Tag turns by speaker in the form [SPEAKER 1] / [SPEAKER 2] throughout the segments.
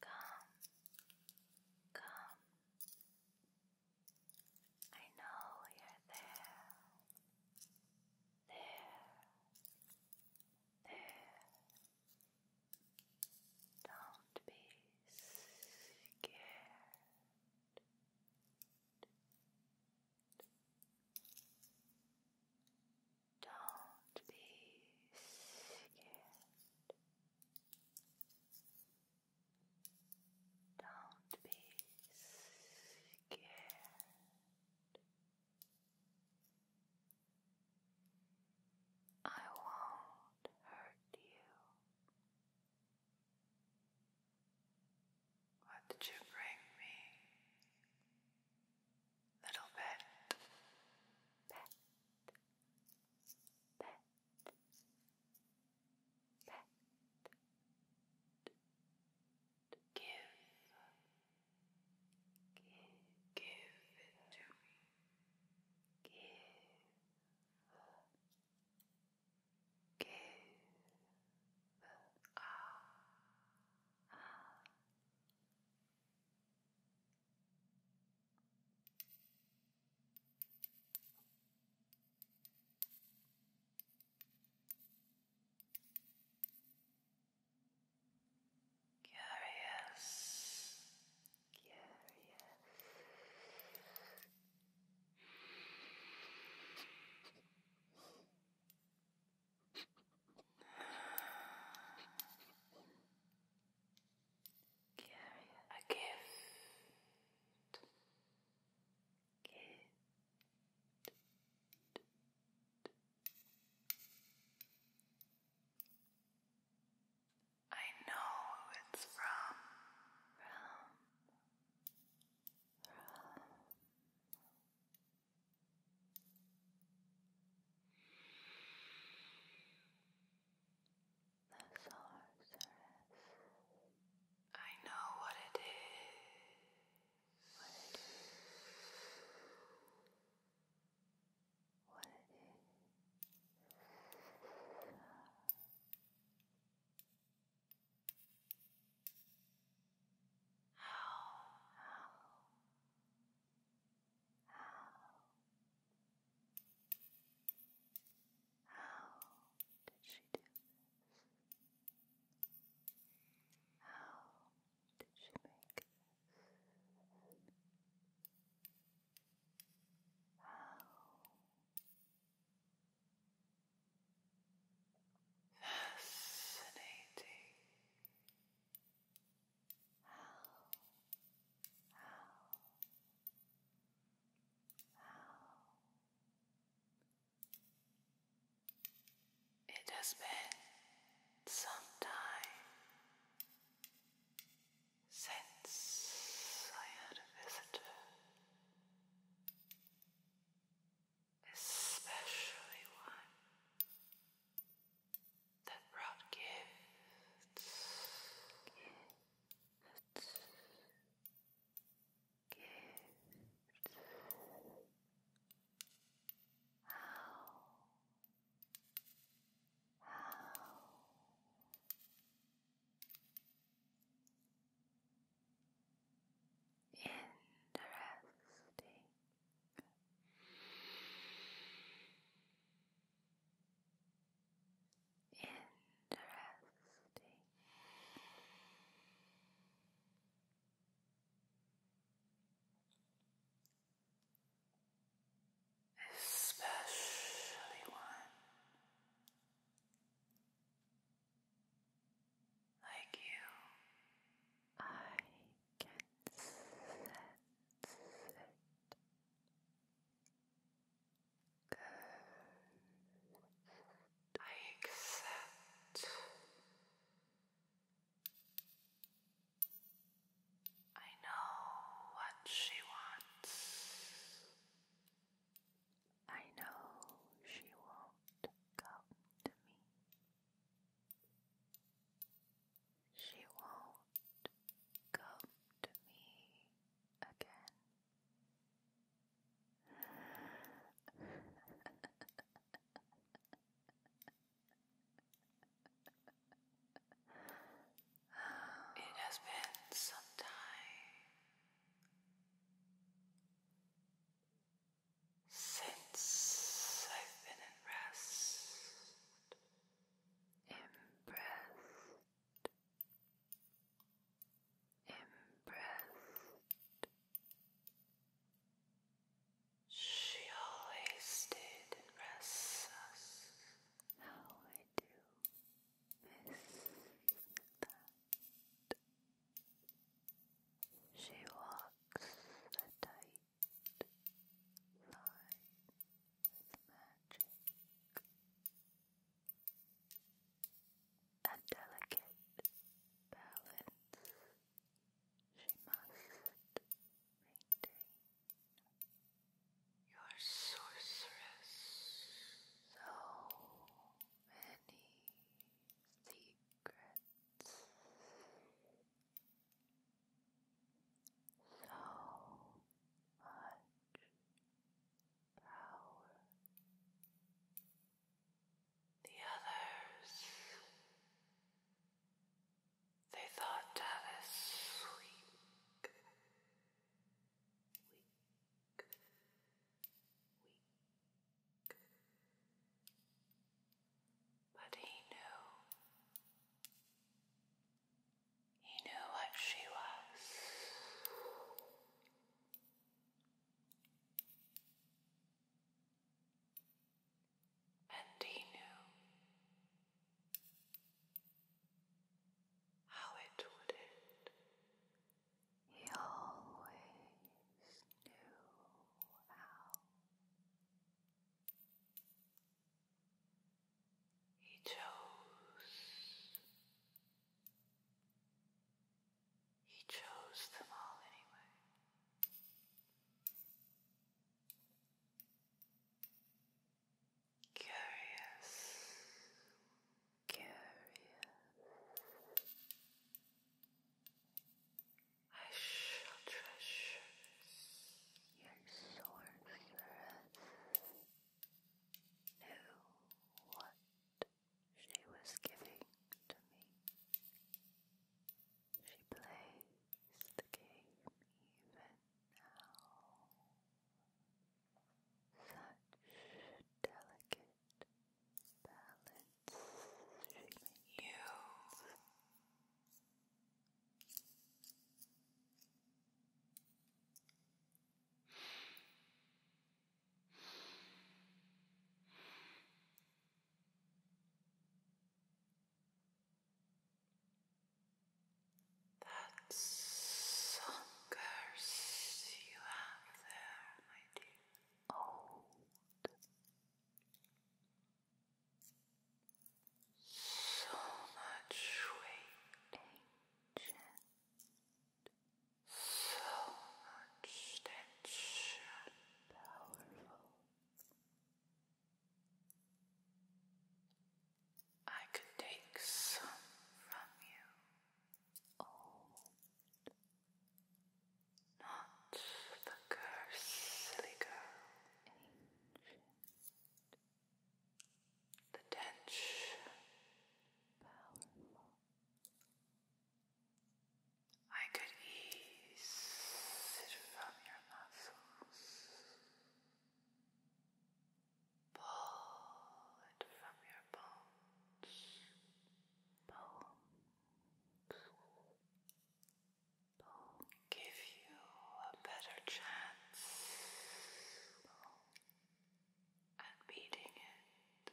[SPEAKER 1] Come, come. I know you're there, there, there. Don't be
[SPEAKER 2] scared. Don't be scared. Don't be scared.
[SPEAKER 1] I won't hurt you. What did you bring me? little bit. Pet. Pet.
[SPEAKER 2] Pet. Give. Give. Give it to me. Give. Give. Ah. Ah. Curious, curious. Carry a gift. I know it's From.
[SPEAKER 1] The sorceress. I know what it is. What it is. What it is. How? How? How did she do this?
[SPEAKER 2] How did she make this? How? Fascinating. How? How? How? It has been some time
[SPEAKER 1] since I had a visitor, especially one that brought gifts, gifts, How, how.
[SPEAKER 2] Interesting. Interesting. Especially one like you, I can I
[SPEAKER 1] accept I know what she wants. I know she won't come to me. She won't come to me again.
[SPEAKER 2] It has been some time since I've been in rest impressed, impressed. She always did impress us. How I do miss that. She walks a tight fly with magic. A delicate balance she must maintain. Your sorceress, so many secrets so much power. The others, they thought Tavis weak, weak, weak.
[SPEAKER 1] But he knew.
[SPEAKER 2] He knew what she was. And he knew how it would end. He always knew how. He chose. He chose them all anyway. Curious. Curious. I shall treasure your sorceress knew what she was giving to me. She plays the game even now. Such delicate balance she that some curse you have there, my dear. Old. So much sweet so much tension, powerful. I could take some from you, old. Not the curse, silly girl, the tension powerful. I could ease
[SPEAKER 1] from your muscles, pull it from your bones, bones give you a better chance at beating it.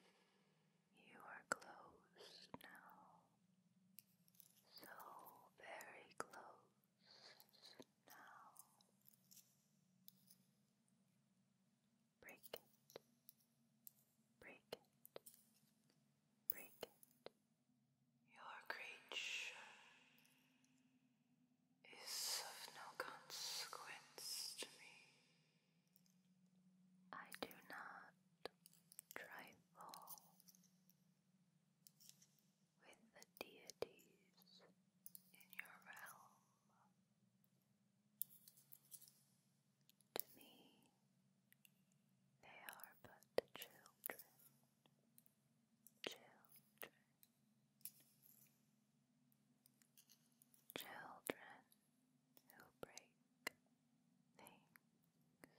[SPEAKER 1] You are close now. So very close now. Break it. Break it. Break it. Your creature is of no consequence to me. I do not trifle with the deities in your realm.
[SPEAKER 2] To me, they are but children children, children who break things for fun, fun, fun.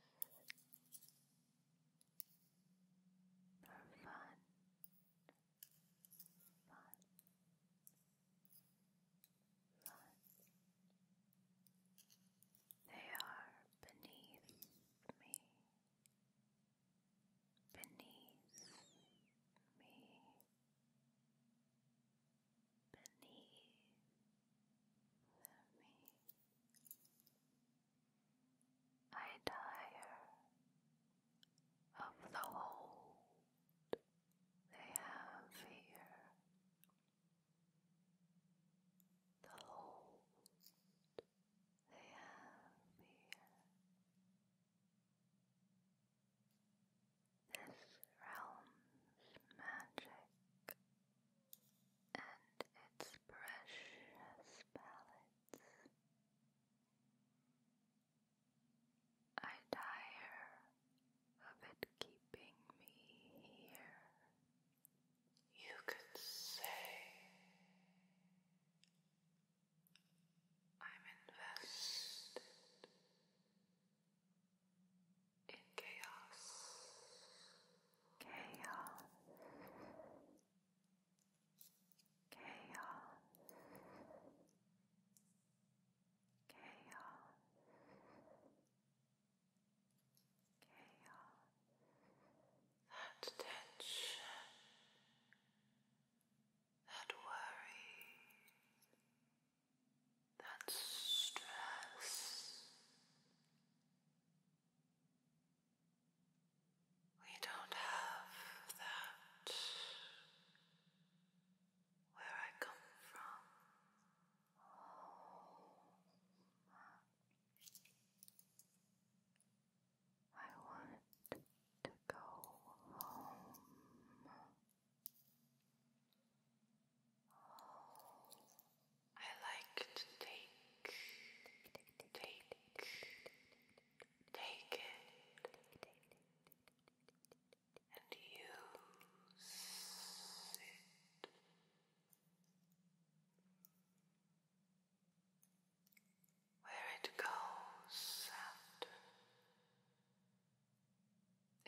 [SPEAKER 2] They are beneath me beneath me, beneath me. I tire of the hold they have here. The hold they have here. This realm's magic and its precious palettes. I tire of it keeping me here you could say, I'm invested in chaos. Chaos. Chaos. Chaos that tension, that worry, that stress. We don't have that where I come from. I want to go home. I like to take, take, take it and use it. Where it goes after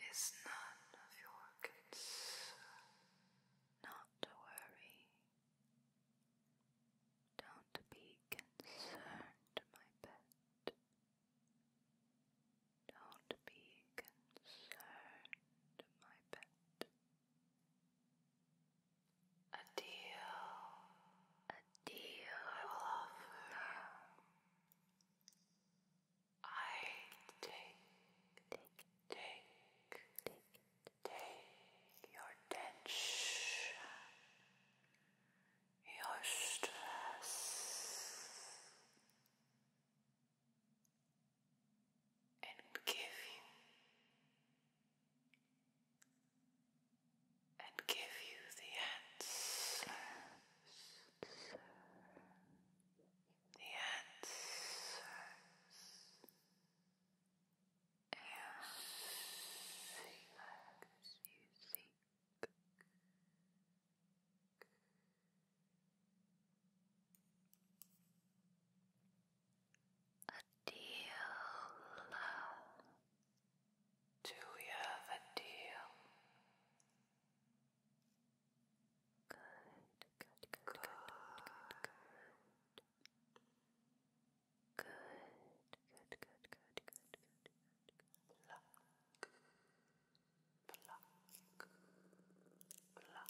[SPEAKER 1] is none of your concern. Not to worry. Don't be concerned, my pet. Don't be concerned, my pet. A deal, a deal I will offer. I take, take, take, take, take your tension, your stress and give you and give you the answers the answers you seek you seek a deal. Do you have a deal? Good, good, good, good, good, good. Good, good, good, good, good, good, good. Pluck, pluck, pluck,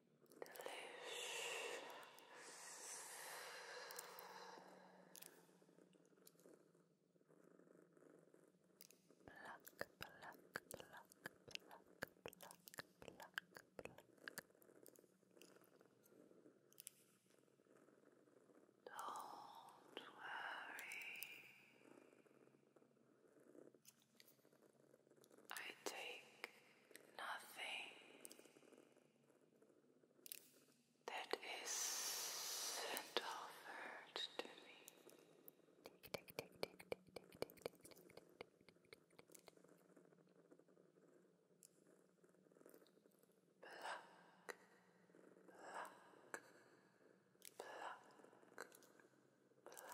[SPEAKER 1] Pluck, pluck, pluck, pluck, pluck, pluck, pluck. Don't worry. I take nothing that isn't offered to me. Pluck, pluck, pluck, pluck,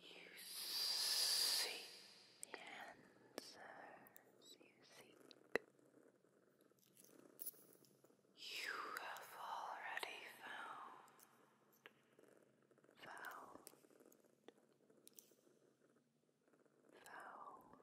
[SPEAKER 2] You seek the answers you seek. You have already found, found, found.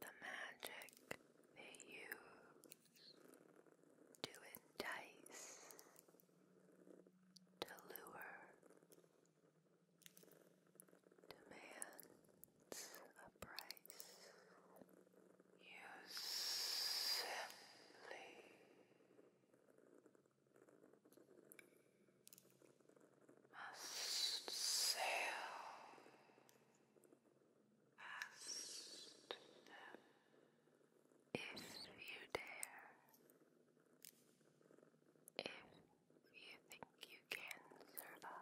[SPEAKER 2] The magic they use to entice, to demands a price. You simply must sail past if you dare, if you think you can survive.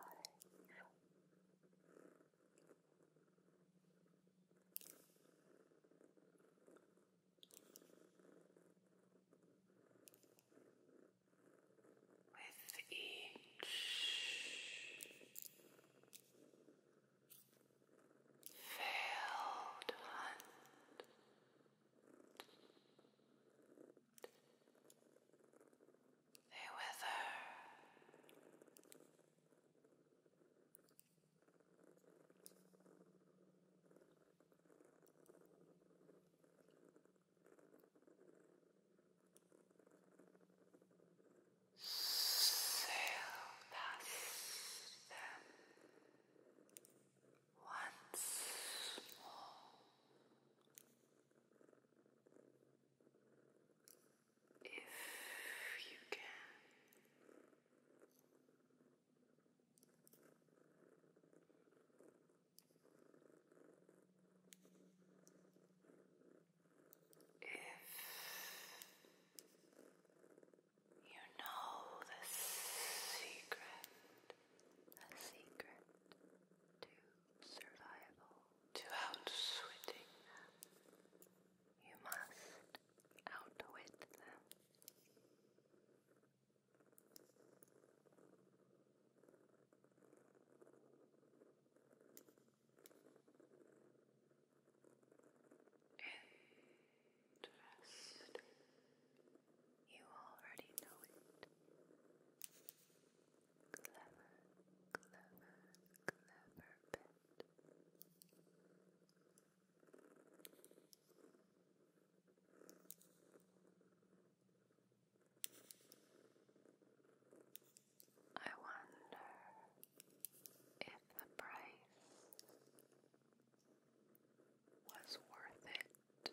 [SPEAKER 2] With each failed hunt, they wither so past once more. If you can, if you know the secret, the secret to survival, to outswitting you must outwit them. Interesting. You already know it. Clever, clever, clever pet. I wonder if the price was worth it.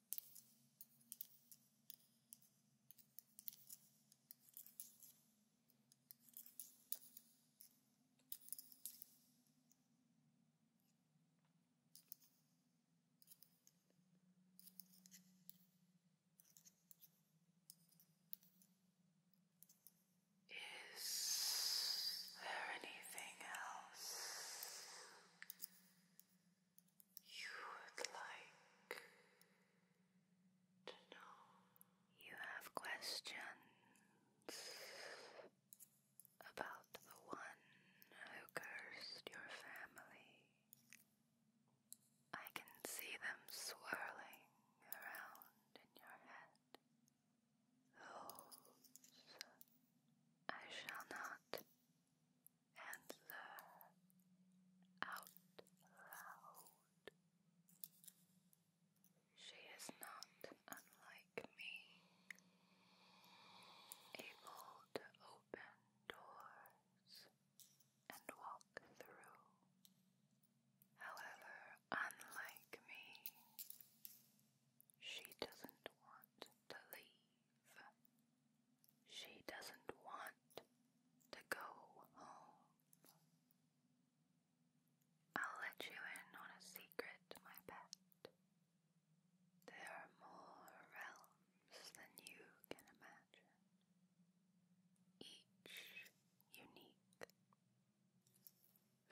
[SPEAKER 1] Is there anything else you would like to know. You have questions about the one who cursed your family. I can see them swirling around in your head. Those I shall not and learn out loud. She is not unlike me, able to open doors and walk through. However, unlike me, she doesn't want to leave. She doesn't want to go home. I'll let you in on a secret, my pet. There are more realms than you can imagine, each unique.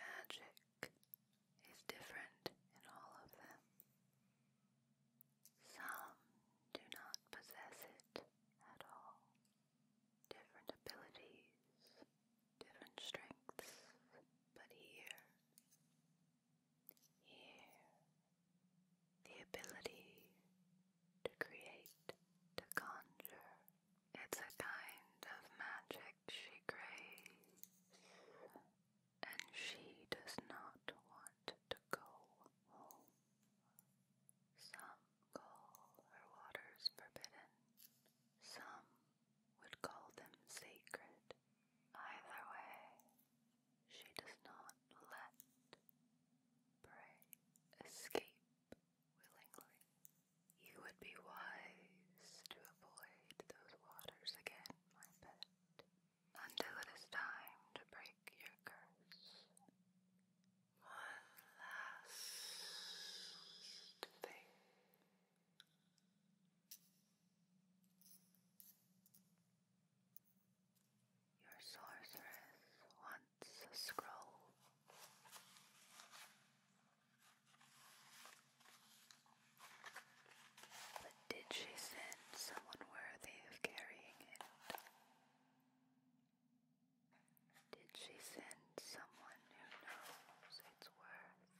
[SPEAKER 1] Magic is different in all of them. Some do not possess it at all. Different abilities, different strengths, but here, here, the ability to create, to conjure. It's a kind of magic she craves, and she does not want to go home. Some call her waters forbidden, some would call them sacred. Either way, she does not let prey escape willingly. You would be wise to avoid those waters again, my pet until it is time to break your curse. One last thing. Your sorceress wants a scroll. Did she send someone worthy of carrying it? Did she send someone who knows its worth?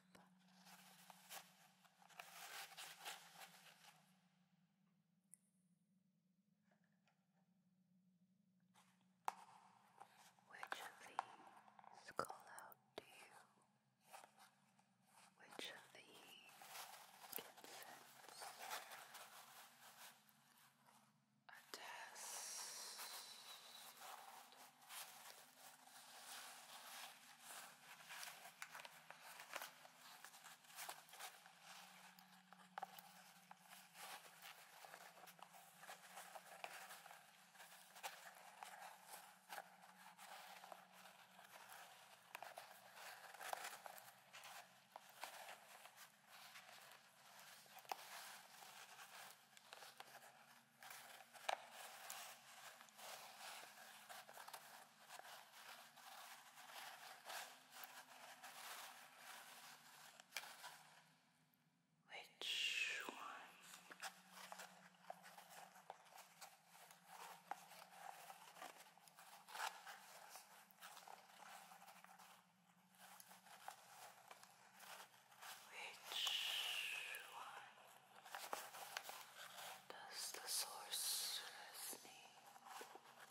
[SPEAKER 1] Which of these call out to you? which of the incense attest which one which one does the sorceress need? Which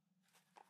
[SPEAKER 2] Neither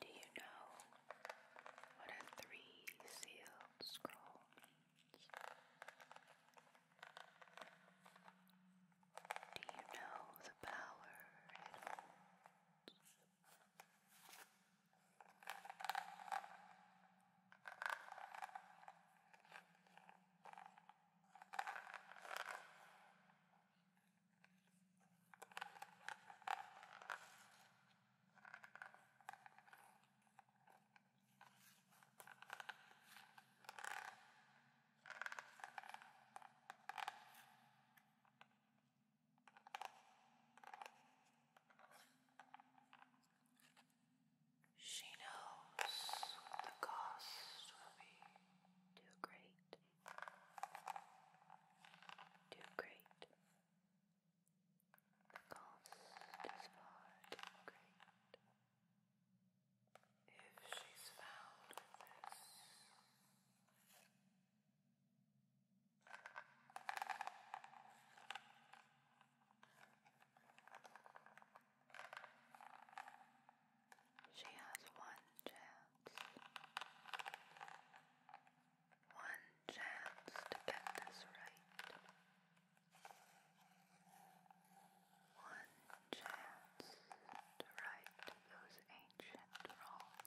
[SPEAKER 1] Do you know what a three sealed scroll Do you know the power it holds? She knows the cost will be too great. Do great. The cost is far too great. If she's found this, she has one chance. One chance to get this right. One chance to right those ancient wrongs.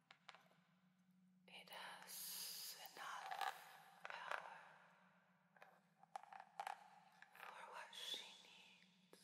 [SPEAKER 1] It has enough power for what she needs.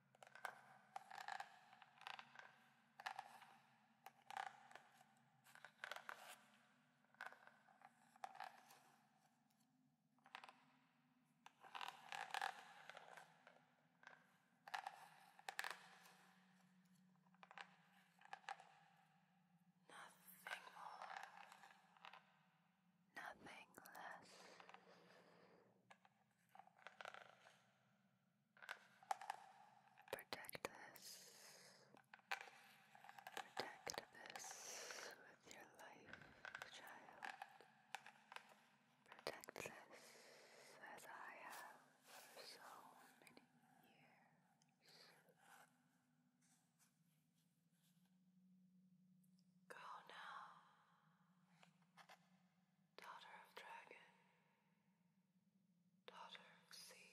[SPEAKER 1] Nothing more, nothing less. Protect us. Protect us with your life, child. Protect this as I have for so many years. Go now, daughter of dragon tottering sea.